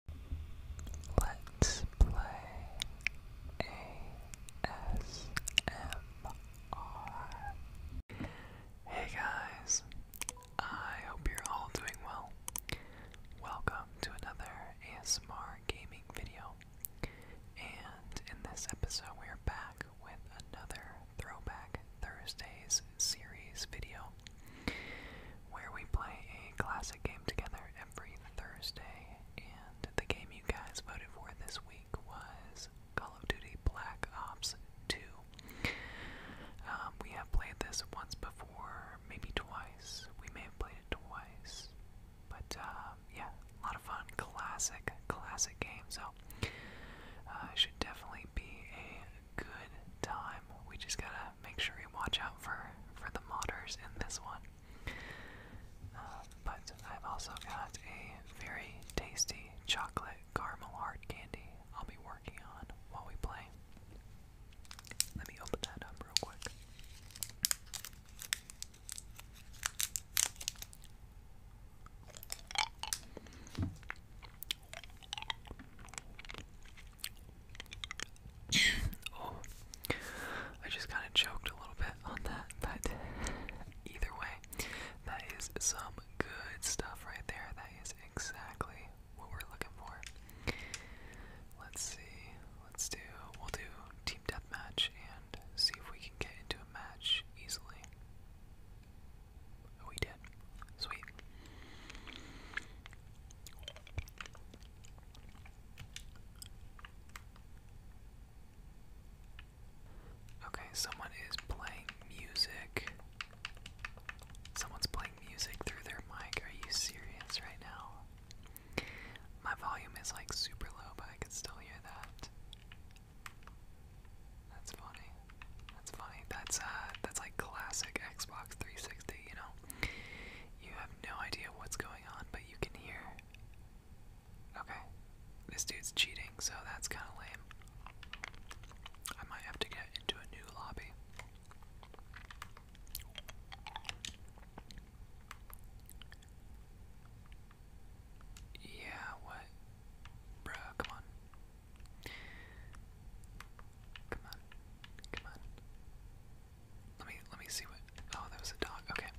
Hey guys, I hope you're all doing well. Welcome to another ASMR gaming video. And in this episode, we are back with another Throwback Thursdays series video where we play a classic game together every Thursday. And the game you guys voted for this week was Call of Duty Black Ops 2. Um, we have played this once before, maybe twice. We may have played it twice. But um, yeah, a lot of fun. Classic, classic game. So uh, it should definitely be a good time. We just gotta make sure you watch out for for the modders in this one. Uh, but I've also got a very tasty chocolate caramel hard candy I'll be working on while we play. Let me open that up real quick oh, I just kind of choked a little bit on that, but either way, that is some good stuff right there. That is exactly what we're looking for. Let's see. Let's do. We'll do team deathmatch and see if we can get into a match easily. we did. Sweet. Okay, someone is playing music. Someone's playing music through their mic. Are you serious right now? My volume is like super low, but I can still hear that. That's funny. That's funny. That's uh that's like classic Xbox 360, you know. You have no idea what's going on, but you can hear. Okay, this dude's cheating, so that's kind of lame. I might have to get into a new lobby. Yeah, what? Bruh, come on. Come on. Come on. Let me let me see what. Oh, that was a dog. Okay.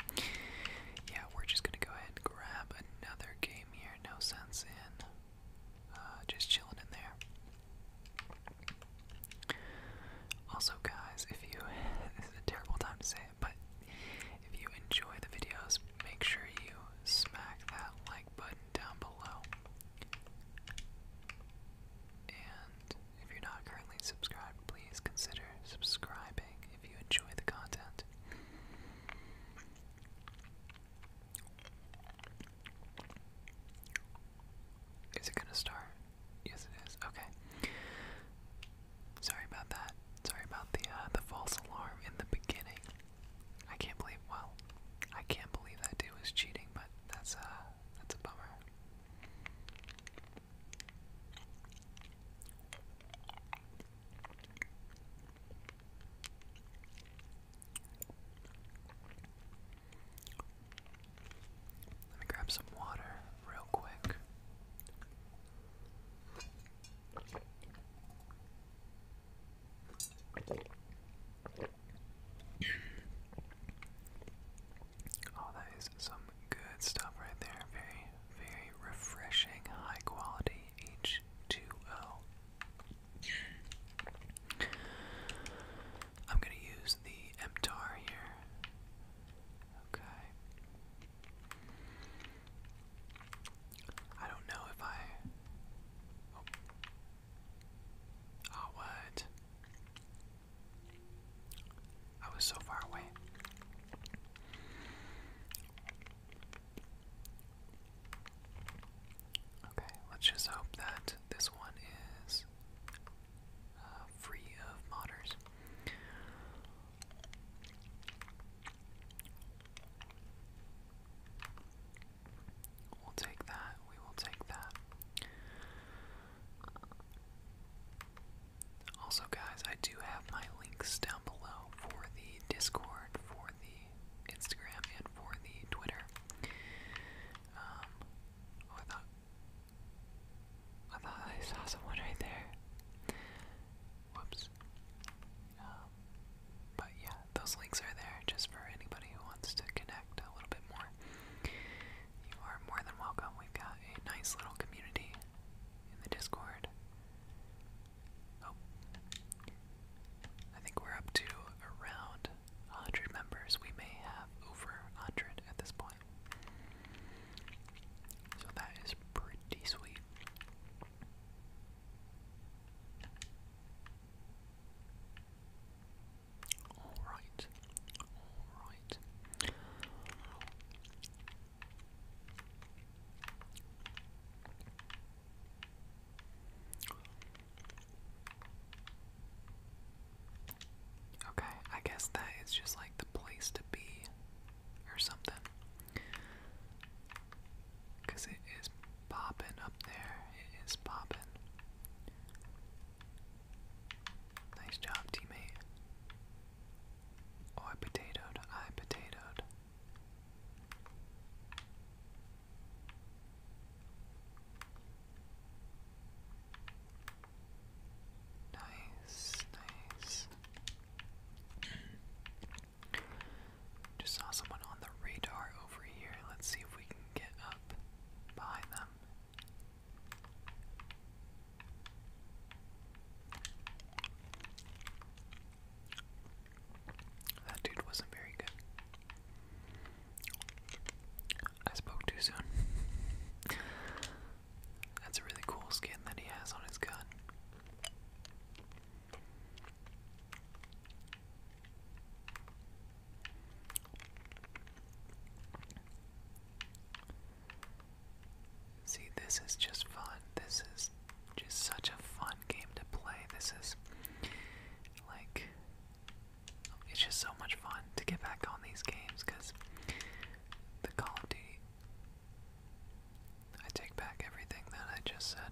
Yeah, we're just gonna go ahead and grab another game here. No sense in uh, just chilling in there. Also, guys, if you this is a terrible time to say it, but if you enjoy the videos, make sure you smack that like button down below. And if you're not currently subscribed, please consider subscribing if you enjoy the content. Is it gonna start? Yes, it is. Okay. Sorry about that. Sorry about the uh, the false alarm in the beginning. I can't believe. Well, I can't believe that dude was cheating, but that's uh, that's a bummer. Let me grab some water real quick. Oh, that is some good stuff right there. Very, very refreshing, high quality H2O. I'm going to use the MTAR here. Okay. I don't know if I. oh, ah, what? I was so far away. Okay, let's just hope that this one is uh, free of modders. We'll take that, we will take that. Also, guys, I do have my links down below for the Discord, for the Instagram, and for the Twitter. Um, oh, I thought I thought I saw someone right there. Whoops. Um, but yeah, those links are there just for anybody who wants to connect a little bit more you are more than welcome. We've got a nice little community in the Discord. Oh. I think we're up to around 100 members. We may have over 100 at this point. So that is pretty sweet. Alright. Alright. Okay, I guess that is just like the place to be or something. Because it is popping up there. It is popping. Nice job, teammate. Oh, I potatoed. I potatoed. Nice, nice. Just saw someone on the radar over here. Let's see if we can get up behind them that dude wasn't very good. I spoke too soon. That's a really cool skin that he has on his gun. See, this is just fun. This is just such a fun game to play. This is like it's just so much fun to get back on these games because the Call of Duty. I take back everything that I just said.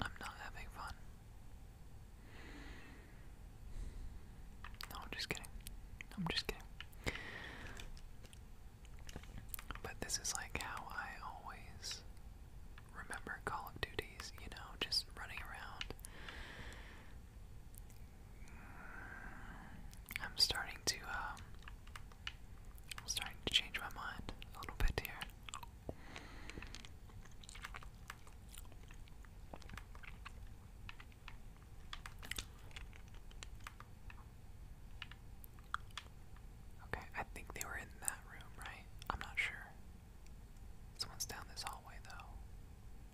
I'm not having fun. No, I'm just kidding. I'm just kidding. But this is like how I always remember Call of Duties, you know, just running around. I'm starting to, um, starting to change my mind a little bit here. Okay, I think they were in that room, right? I'm not sure. Someone's down this hallway, though.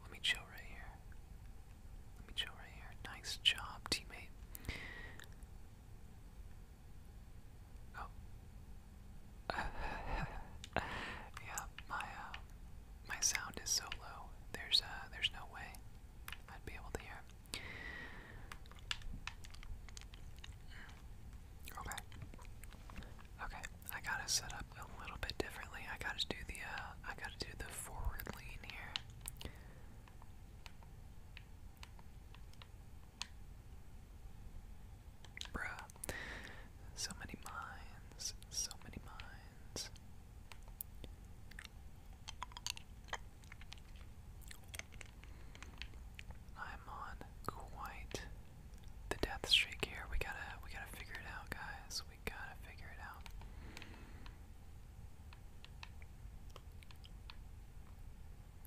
Let me chill right here. Let me chill right here. Nice job, teammate. Oh. yeah, my, uh, my sound is so low. There's uh, there's no way I'd be able to hear. Okay. Okay. I gotta set up a little bit differently. I gotta do the uh, I gotta do the forward lean here. Bruh. So many minds. So many minds. I'm on quite the death streak here. We gotta we gotta figure it out, guys. We gotta figure it out.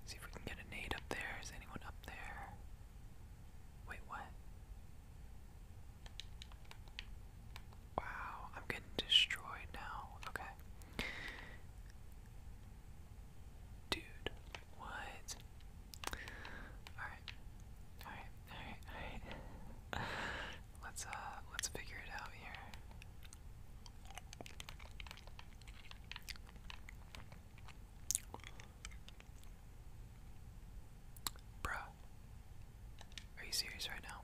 See if we can get a nade up there. Is anyone up there? Wait, what? Wow, I'm getting destroyed now. Okay. Dude, what? Alright. Alright, alright, alright. let's uh let's figure it out here. Bro, are you serious right now?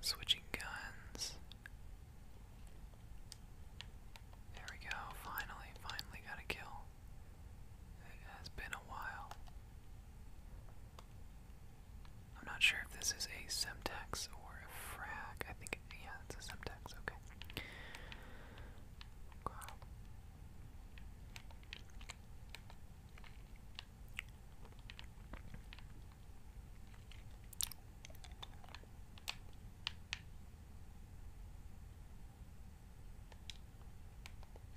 Switching guns. There we go. Finally, finally got a kill. It has been a while. I'm not sure if this is a Semtex or a frag. I think, yeah, it's a Semtex. Okay.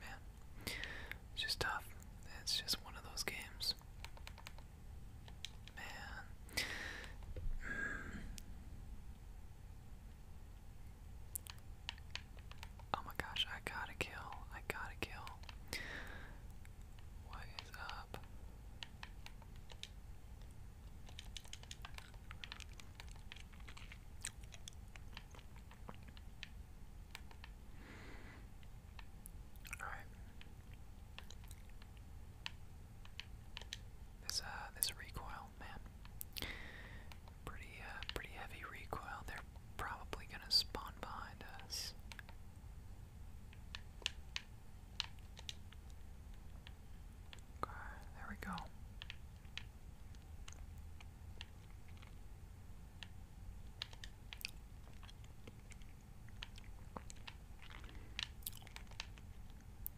Man, it's just tough. It's just one of those games. Man. Mm. Oh my gosh, I gotta kill. I gotta kill. What is up? All right. This uh this recoil, man. Pretty, uh, pretty heavy recoil. They're probably gonna spawn behind us. Okay, there we go.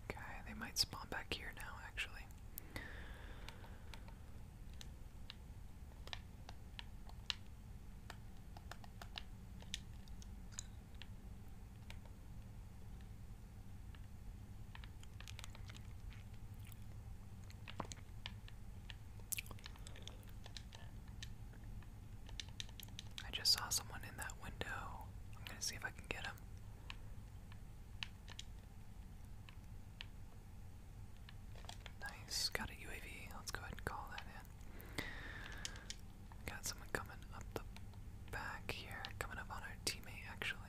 Okay, they might spawn back here now, actually. I just saw someone in that window. I'm going to see if I can get him. Nice, got a UAV. Let's go ahead and call that in. Got someone coming up the back here, coming up on our teammate actually.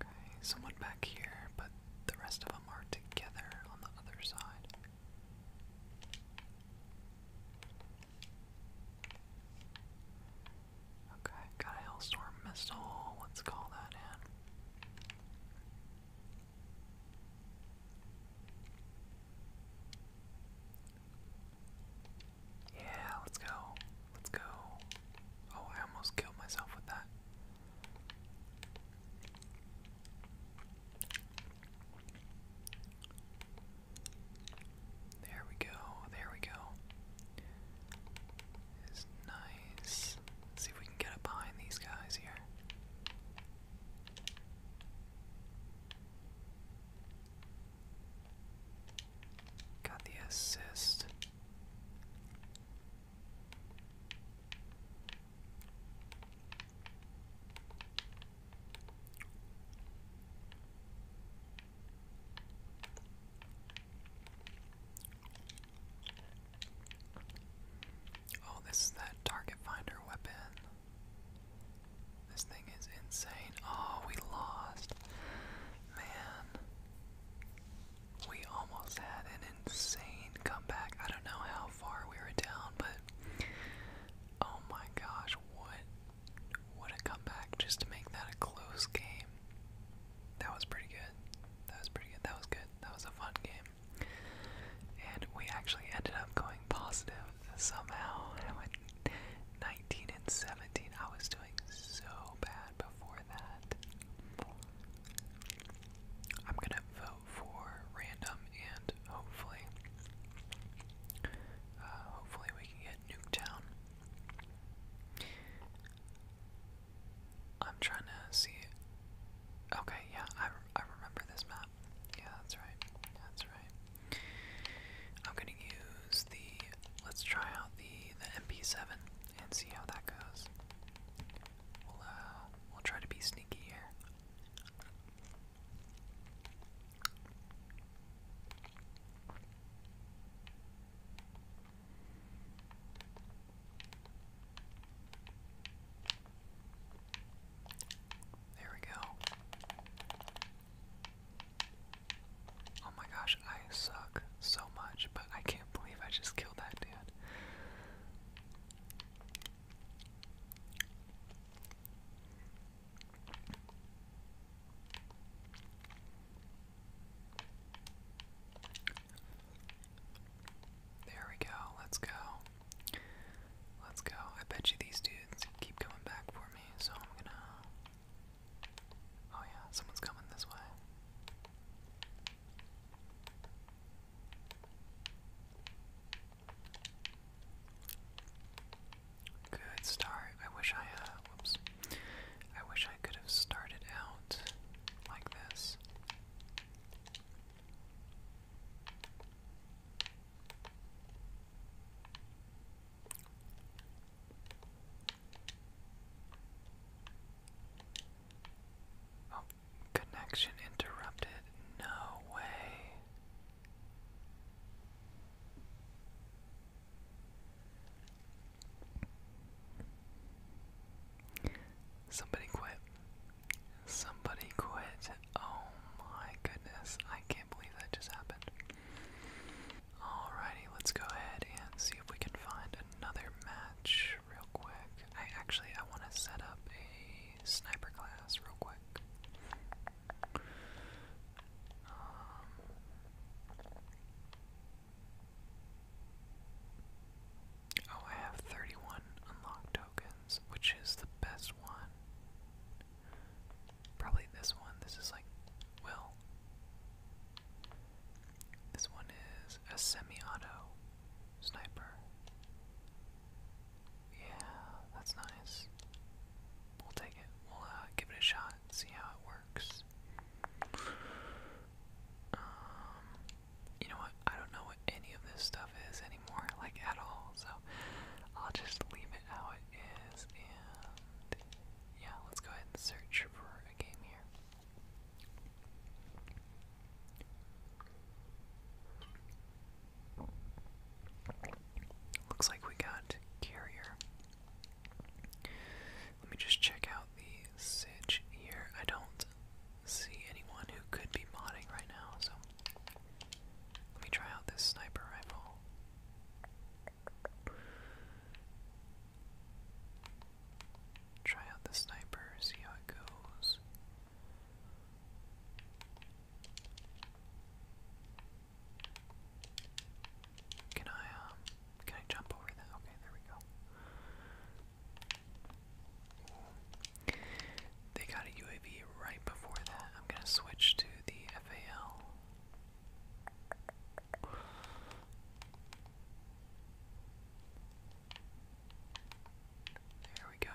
Okay, someone back here, but the rest of them are together on the other side. Okay, got a hailstorm missile. Let's call that in. Yeah, let's go. Let's go. Oh, I almost killed myself with that. There we go, there we go. It's nice. Let's see if we can get up behind these guys here. Got the assist. Oh, this is that target finder weapon. This thing is insane. Oh, we lost. Man we almost had an insane comeback. I don't know how far we were down, but oh my gosh, what what a comeback just to make that a close game. That was pretty good. That was pretty good. That was good. That was a fun game. And we actually ended up going positive somehow. I went 19 and 17. I was doing so bad before that. I'm gonna vote for random and hopefully, uh, hopefully we can get Nuketown. I'm trying to see. Okay, yeah, I, I remember this map. Yeah, that's right. That's right. I'm gonna use the. Let's try out the the MP7 and see how that goes. We'll, uh, we'll try to be sneaky here. There we go. Oh my gosh, I suck so much, but I can't believe I just killed that dude. There we go. Let's go. Let's go. I bet you these dudes keep coming back for me, so I'm gonna. Oh, yeah, someone's coming this way. Good start. I wish I, uh, whoops. I wish I could have started out like this. Oh, Connection interrupted. No way. Somebody quit. Somebody quit. Oh my goodness. I can't believe that just happened. Alrighty, let's go ahead and see if we can find another match real quick. I actually I want to set up a sniper class real quick. Um, oh, I have 31 unlocked tokens, which is the best one. Probably this one. This is like, well, this one is a semi-auto sniper. Yeah, that's nice. We'll take it. We'll uh, give it a shot, see how it works. Um, you know what? I don't know what any of this stuff is anymore, like at all. So I'll just leave it how it is, and yeah, let's go ahead and search for a game here. Looks like we got carrier. Let me just check out the sitch here. I don't see anyone who could be modding right now, so let me try out this sniper rifle. Try out the sniper, see how it goes. Can I um can I jump over that? Okay, there we go. They got a UAV right before that. I'm gonna switch to the FAL. There we go.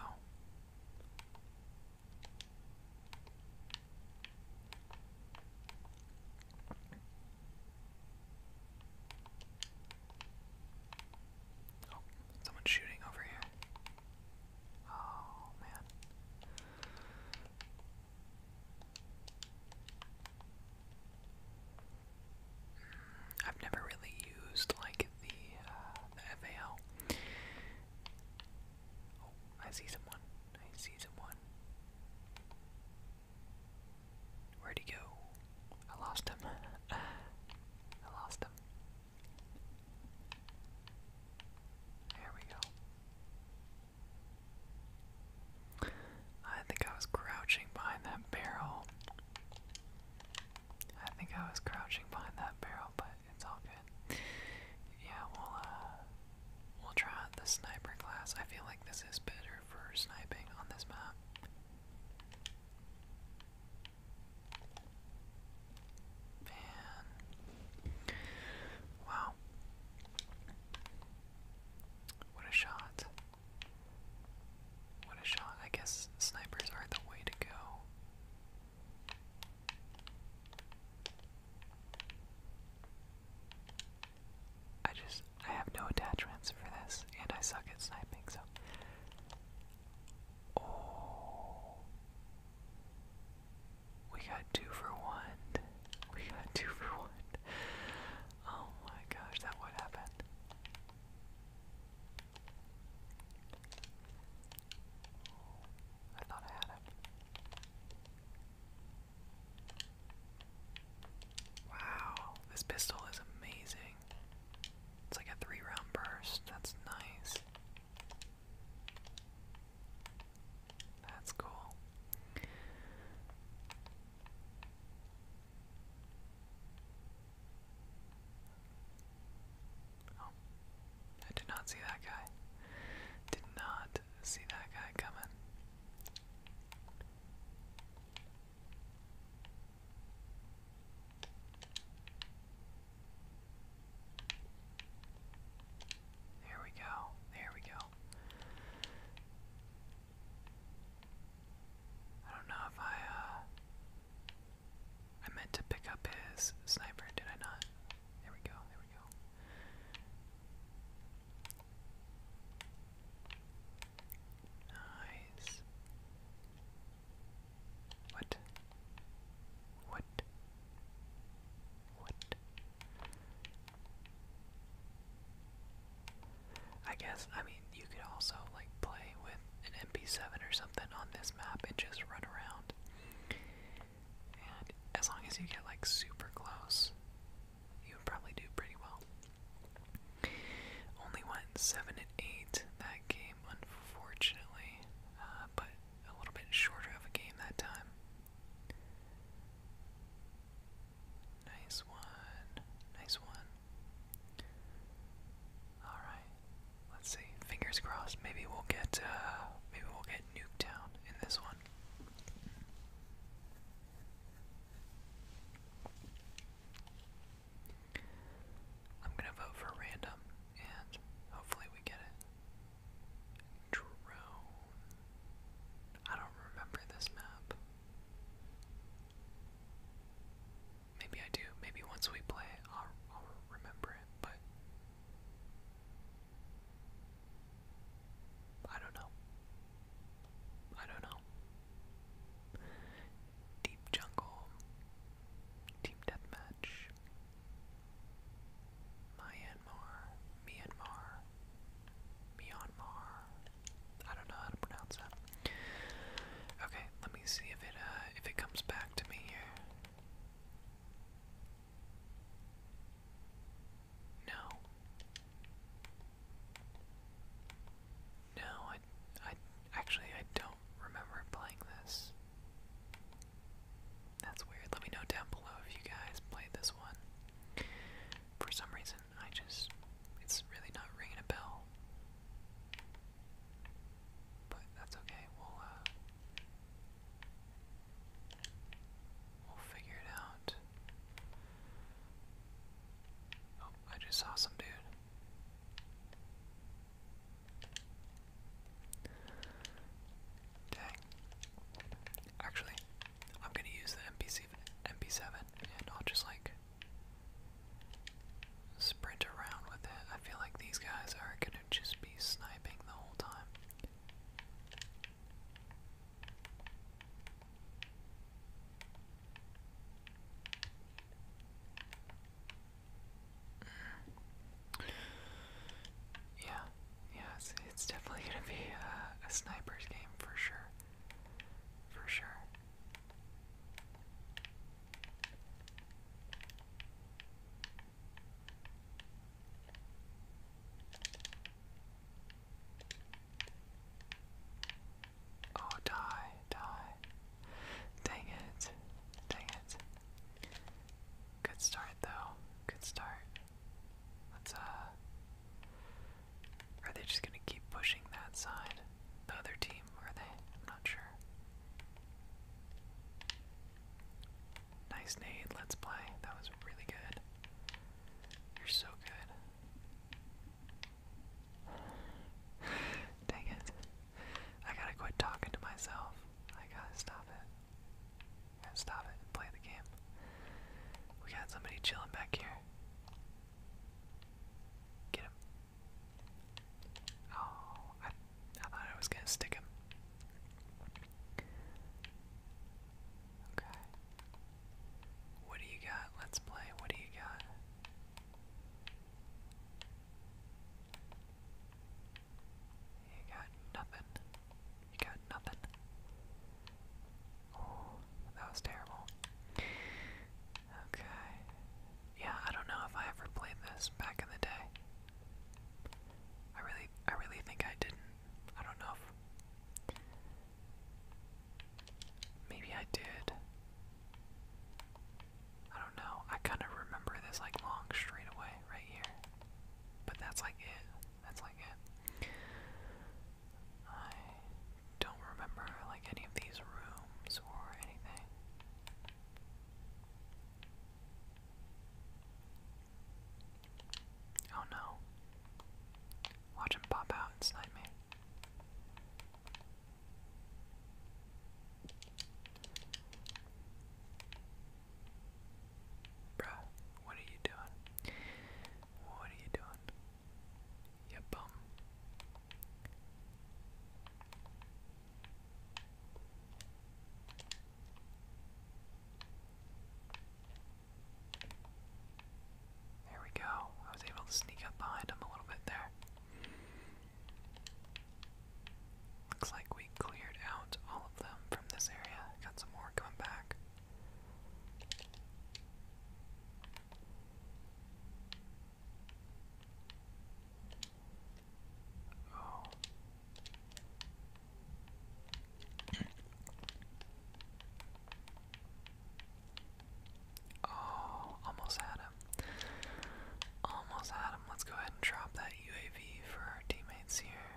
Oh, someone's shooting over here. Oh, man. I've never really used like the, uh, FAL. Oh, I see someone. I see someone. Where'd he go? I lost him. I lost him. There we go. I think I was crouching behind that barrel. I think I was crouching behind that barrel, but it's all good. Yeah, we'll uh, we'll try out the sniper class. I feel like this is better for sniping on this map. Man. Wow. What a shot. What a shot. I guess snipers are the way to go. I just, I have no attachments for this, and I suck at sniping, so. Oh. We got two for one. We got two for one. Oh my gosh, that would happen. I thought I had it. Wow, this pistol is amazing. It's like a three round burst. That's nice. That's cool. Oh, I did not see that guy. Did not see that guy coming. There we go. There we go. I don't know if I, uh, I meant to pick up his sniper, did I not? There we go, there we go. Nice. What? What? What? I guess, I mean, you could also, like, play with an MP7 or something on this map and just run around. And as long as you get, like, super close, you would probably do pretty well. Only went 7 and 8 that game, unfortunately, uh, but a little bit shorter of a game that time. Nice one. Nice one. All right. Let's see. Fingers crossed. Maybe we'll get uh maybe we'll get Nuketown in this one. I'm going to vote for random and hopefully we get it. Drone. I don't remember this map. Maybe I do. Maybe once we play, I'll, remember it, but. I don't know. I don't know. Deep Jungle. Team Deathmatch. Myanmar. Myanmar. Myanmar. I don't know how to pronounce that. Okay, let me see if it uh, if it comes back to me here. No. No, I, I actually I don't remember playing this. That's weird. Let me know down below if you guys played this one. For some reason, I just it's really not ringing a bell. But that's okay. We'll uh, we'll figure it out. Oh, I just saw some dude. Dang. Actually, I'm gonna use the MP7 and I'll just like sprint around with it. I feel like these guys are gonna just be sniping the whole time. Yeah, yeah, it's, definitely gonna be uh, a sniper's game for sure. For sure. Oh, die, die. Dang it. Dang it. Good start, though. Good start. Let's, uh. Are they just gonna keep pushing that side? The other team team, were they? I'm not sure. Nice nade, let's play. That was really good. You're so good. Dang it. I gotta quit talking to myself. I gotta stop it. I gotta stop it and play the game. We got somebody chilling back here. Get him. Oh, I, thought I was gonna stick him. Okay. What do you got? Let's play. What do you got? You got nothing. You got nothing. Oh, that was terrible. Okay. Yeah, I don't know if I ever played this back in the day. I really I really think I didn't. I don't know maybe I did. I don't know. I kind of remember this like long straightaway right here. But that's like it. That's like it. I don't remember like any of these rooms or anything. Oh no. Watch him pop out and snipe me. Bruh, what are you doing? What are you doing? Yep. There we go. I was able to sneak up behind him a little bit there. Looks like we cleared out all of them from this area. Got some more coming back. Oh. oh. almost had him. Almost had him. Let's go ahead and drop that UAV for our teammates here.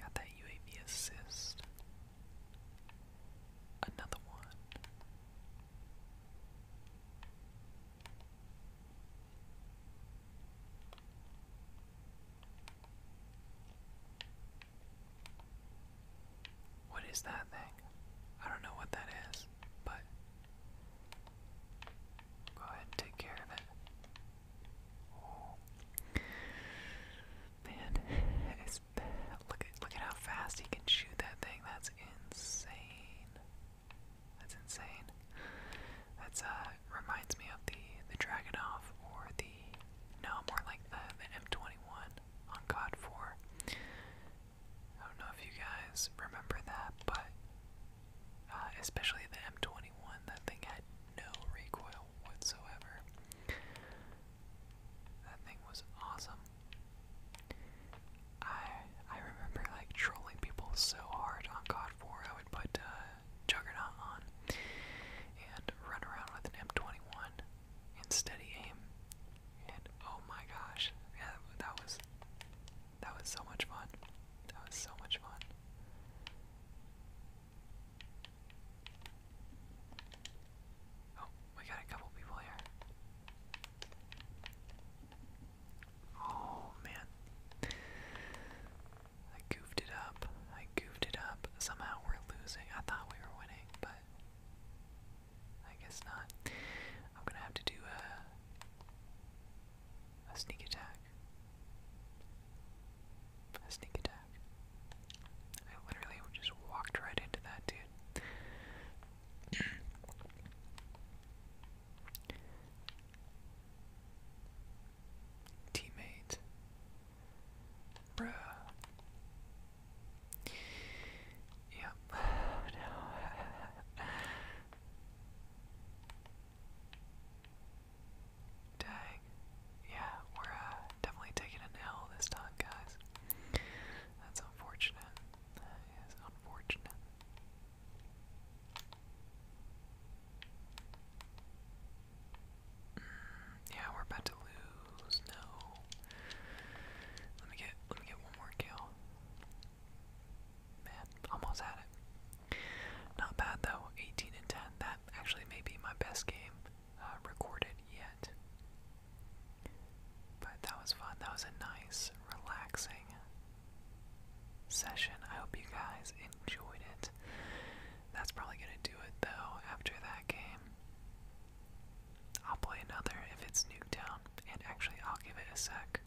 Got that UAV assist. Another one. What is that thing? I don't know what that is, but go ahead and take care of it. Oh, man, it's Look at look at how fast he can shoot that thing. That's insane. That's insane. That's uh reminds me of the the Dragonov or the no more like the M21 on God 4. I don't know if you guys remember that, but uh, especially the M21, that thing had no recoil whatsoever. That thing was awesome. I I remember like trolling people so hard on God 4. I would put uh, Juggernaut on and run around with an M21 and steady aim. And oh my gosh, that was that was so much fun. That was so much fun. Oh, we got a couple people here. Oh man. I goofed it up. I goofed it up. Somehow we're losing. I thought we were winning, but I guess not. I'm gonna have to do a a sneak attack. A sneak attack. I literally just walked right into that dude. Teammate. Bruh. Yep. no. Dang. Yeah, we're uh, definitely taking an L this time, guys. That's unfortunate. That is unfortunate. Mm, yeah, we're about to lose. No. Let me get let me get one more kill. Man, almost had it. Not bad though. 18 and 10. That actually may be my best game uh, recorded yet. But that was fun. That was a nice, relaxing session. I hope you guys enjoyed it. That's probably going to do it, though, after that game. I'll play another if it's Nuketown, and actually, I'll give it a sec.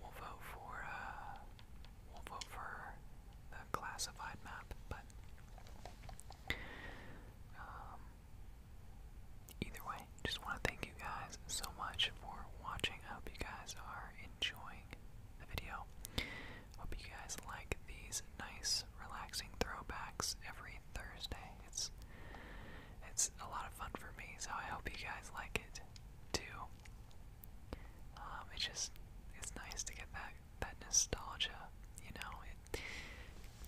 We'll vote for, uh, we'll vote for the classified map, but, um, Either way, just want to thank you guys so much for watching. I hope you guys are enjoying the video. Hope you guys like these nice, relaxing throwbacks every Thursday. It's it's a lot of fun for me, so I hope you guys like it too. Um, it's just it's nice to get that that nostalgia, you know it.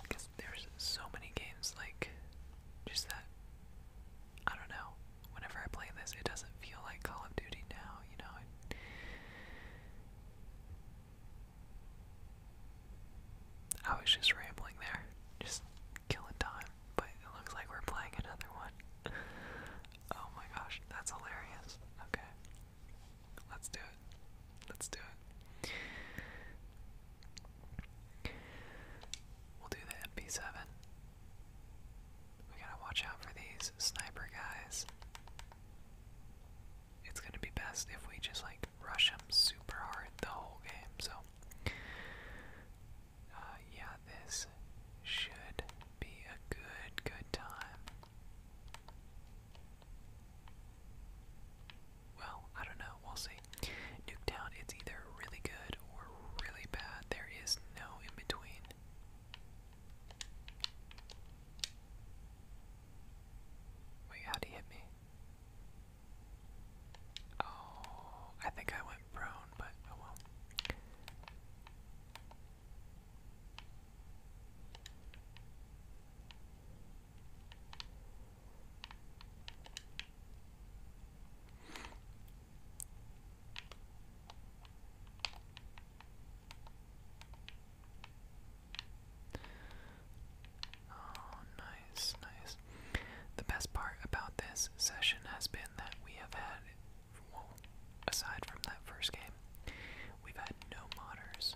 Because there's so many games like just that. I don't know. Whenever I play this, it doesn't feel like Call of Duty now, you know. I was just rambling there, just killing time, but it looks like we're playing another one. oh my gosh, that's hilarious. Okay. Let's do it. Let's do it. We'll do the MP7. We gotta watch out for these sniper guys. It's gonna be best if we just like rush them super hard the whole game, so. Uh, yeah, this should be a good, good time well, I don't know. We'll see. Nuketown, it's either really good or really bad. There is no in between. Wait, how'd he hit me? Oh, I think I went prone, but oh well. Oh, nice, nice. The best part about this session has been that we have had, aside from that first game, we've had no modders.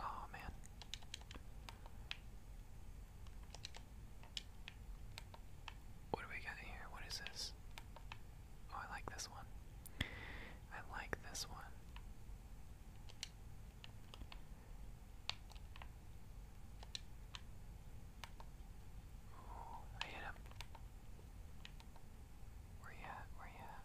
Oh man. What do we got here? What is this? Oh, I like this one. I like this one. Ooh, I hit him. Where you at? Where you at?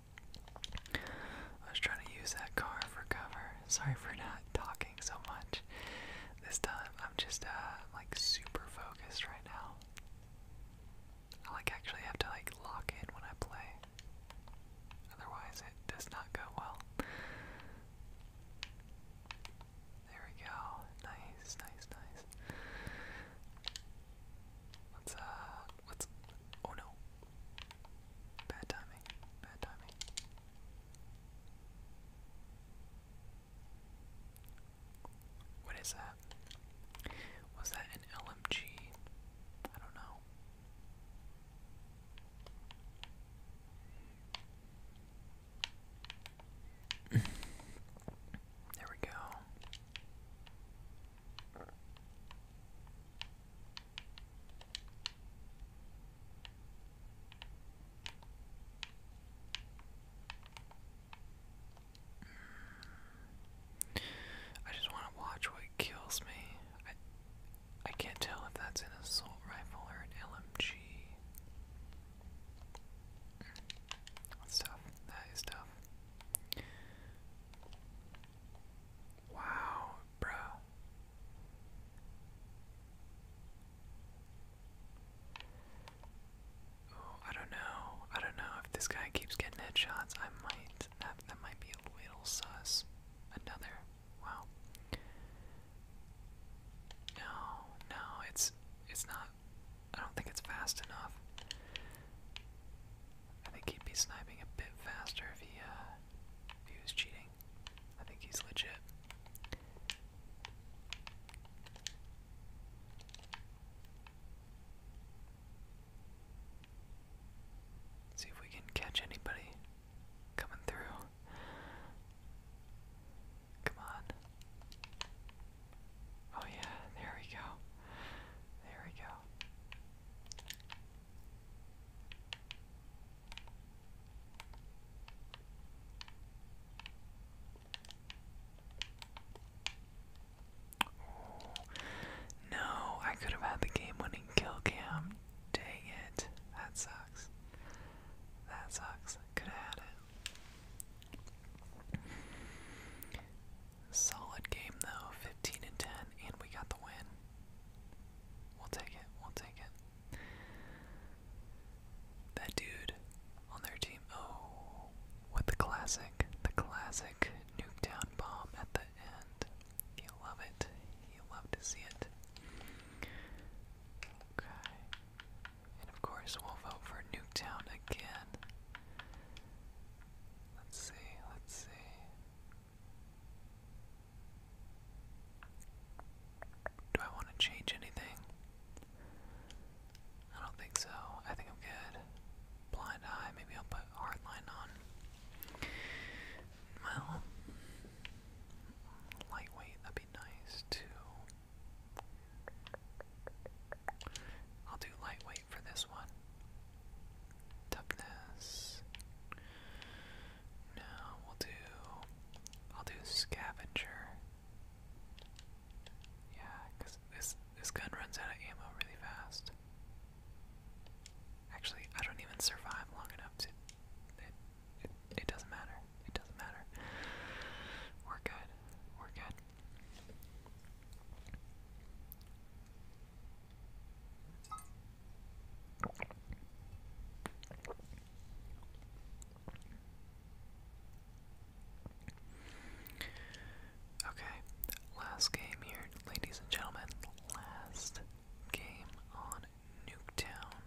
I was trying to use that car for cover. Sorry for not talking so much this time. I'm just uh like super focused right now. I like actually have to like lock in when I play. Otherwise it does not go well. There we go. Nice, nice, nice. Let's uh, What's. Oh no. Bad timing. Bad timing. What is that? Was that an LMG? I don't know. there we go. I just want to watch what kills me. I can't tell if that's an assault rifle or an LMG. That's That is tough. Wow, bro. Oh, I don't know. I don't know if this guy keeps getting headshots. I might. That that might be a little sus. Another. Wow. No, no, it's it's not. I don't think it's fast enough. I think he'd be sniping a bit faster if he, uh, if he was cheating. I think he's legit. see if we can catch anybody coming through. Come on. Oh, yeah, there we go. There we go no, I could have had the game winning kill cam. Dang it. That sucks. That sucks. Could have had it. Solid game though, 15 and 10, and we got the win. We'll take it, we'll take it. That dude on their team, oh, with the classic, the classic Nuketown bomb at the end. You love it, you love to see it. Okay, and of course we'll vote for Nuketown again. Let's see, let's see. Do I want to change anything? I don't think so. I think I'm good. Blind eye, maybe I'll put hardline on. Well, lightweight, that'd be nice too. I'll do lightweight for this one. Toughness. No, we'll do. I'll do scavenger. Yeah, because this this gun runs out of ammo really fast. Actually, I don't even survive long enough to. It, it, it doesn't matter. It doesn't matter. We're good. We're good. Okay, last game here, ladies and gentlemen. Last game on Nuketown.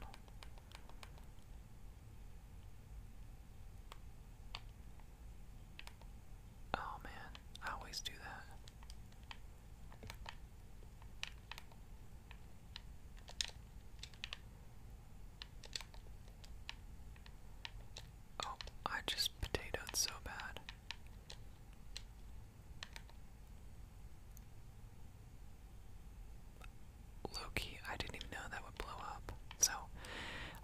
Oh man, I always do that. Oh, I just potatoed so bad. Loki, I didn't even know that would blow up. So,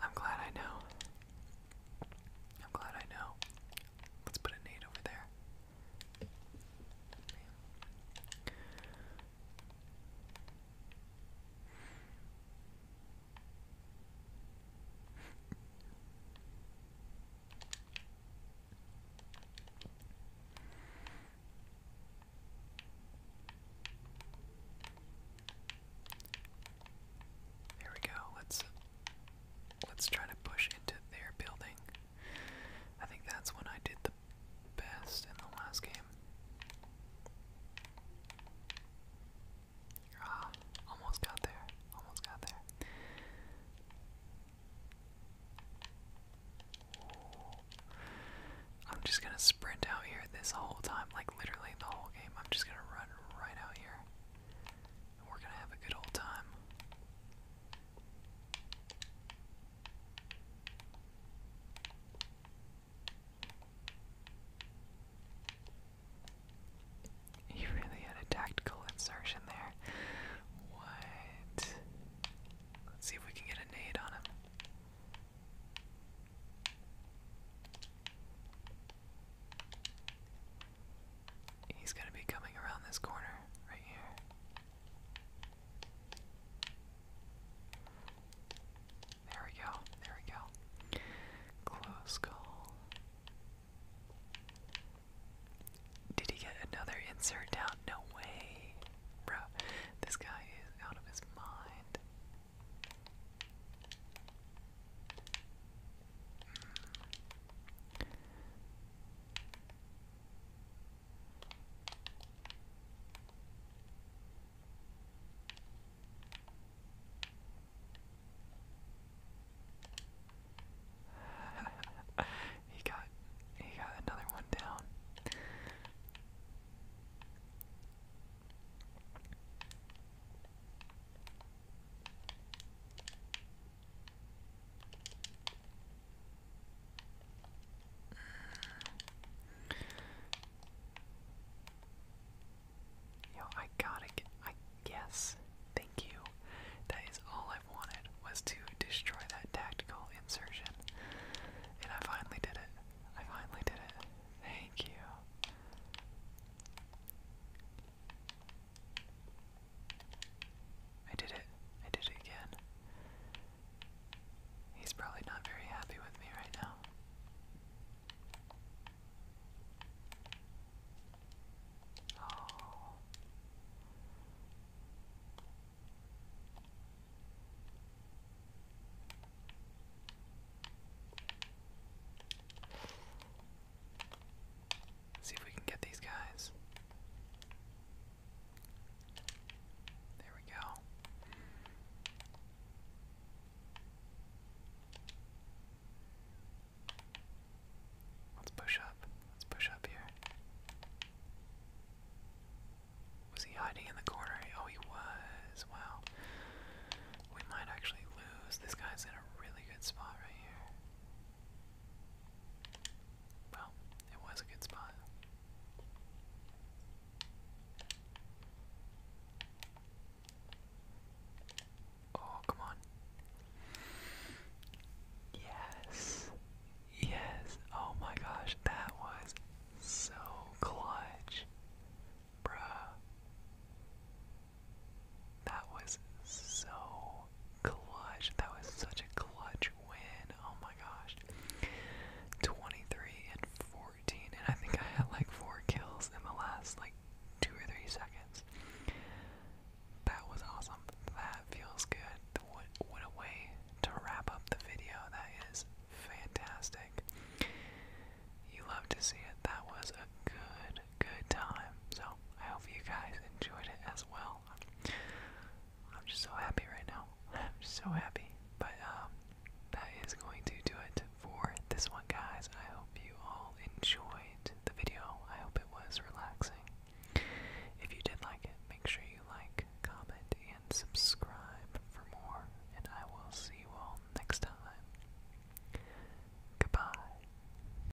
I'm glad I know. I'm glad I know. Let's put a nade over there. Man. we go. Let's Let's try to push into their building. I think that's when I did the best in the last game. Ah, almost got there. Almost got there. I'm just gonna sprint out here this whole time, like literally the whole game. I'm just gonna run right out here we're gonna have a good old time. He really had a tactical insertion there. What? Let's see if we can get a nade on him. He's going to be coming around this corner right here. There we go. There we go. Close call. Did he get another insert down? No way. Bro, this guy is out of his mind. he got he got another one down. Yo, I gotta get. I guess. Thank you. That is all I wanted was to destroy that tactical insertion, and I finally did it. I finally did it. Thank you. I did it. I did it again. He's probably not very happy with me right now. Oh. See if we can get these guys. There we go. Let's push up. Let's push up here. Was he hiding in the corner? Oh, he was. Wow. We might actually lose. This guy's in a really good spot right here. Well, it was a good spot. Oh, come on. Yes. Yes. Oh my gosh, that was so clutch. Bruh. That was so clutch. That was such a clutch win. Oh my gosh. 23 and 14. And I think I had like four kills in the last like two or three seconds. That was awesome. That feels good. What, what a way to wrap up the video. That is fantastic. You love to see it. That was a good good time. So I hope you guys enjoyed it as well. I'm just so happy right now. I'm so happy. But um, that is going to do it for this one, guys. I hope you all enjoyed the video. I hope it was relaxing. If you did like it, make sure you like, comment, and subscribe for more. And I will see you all next time. Goodbye.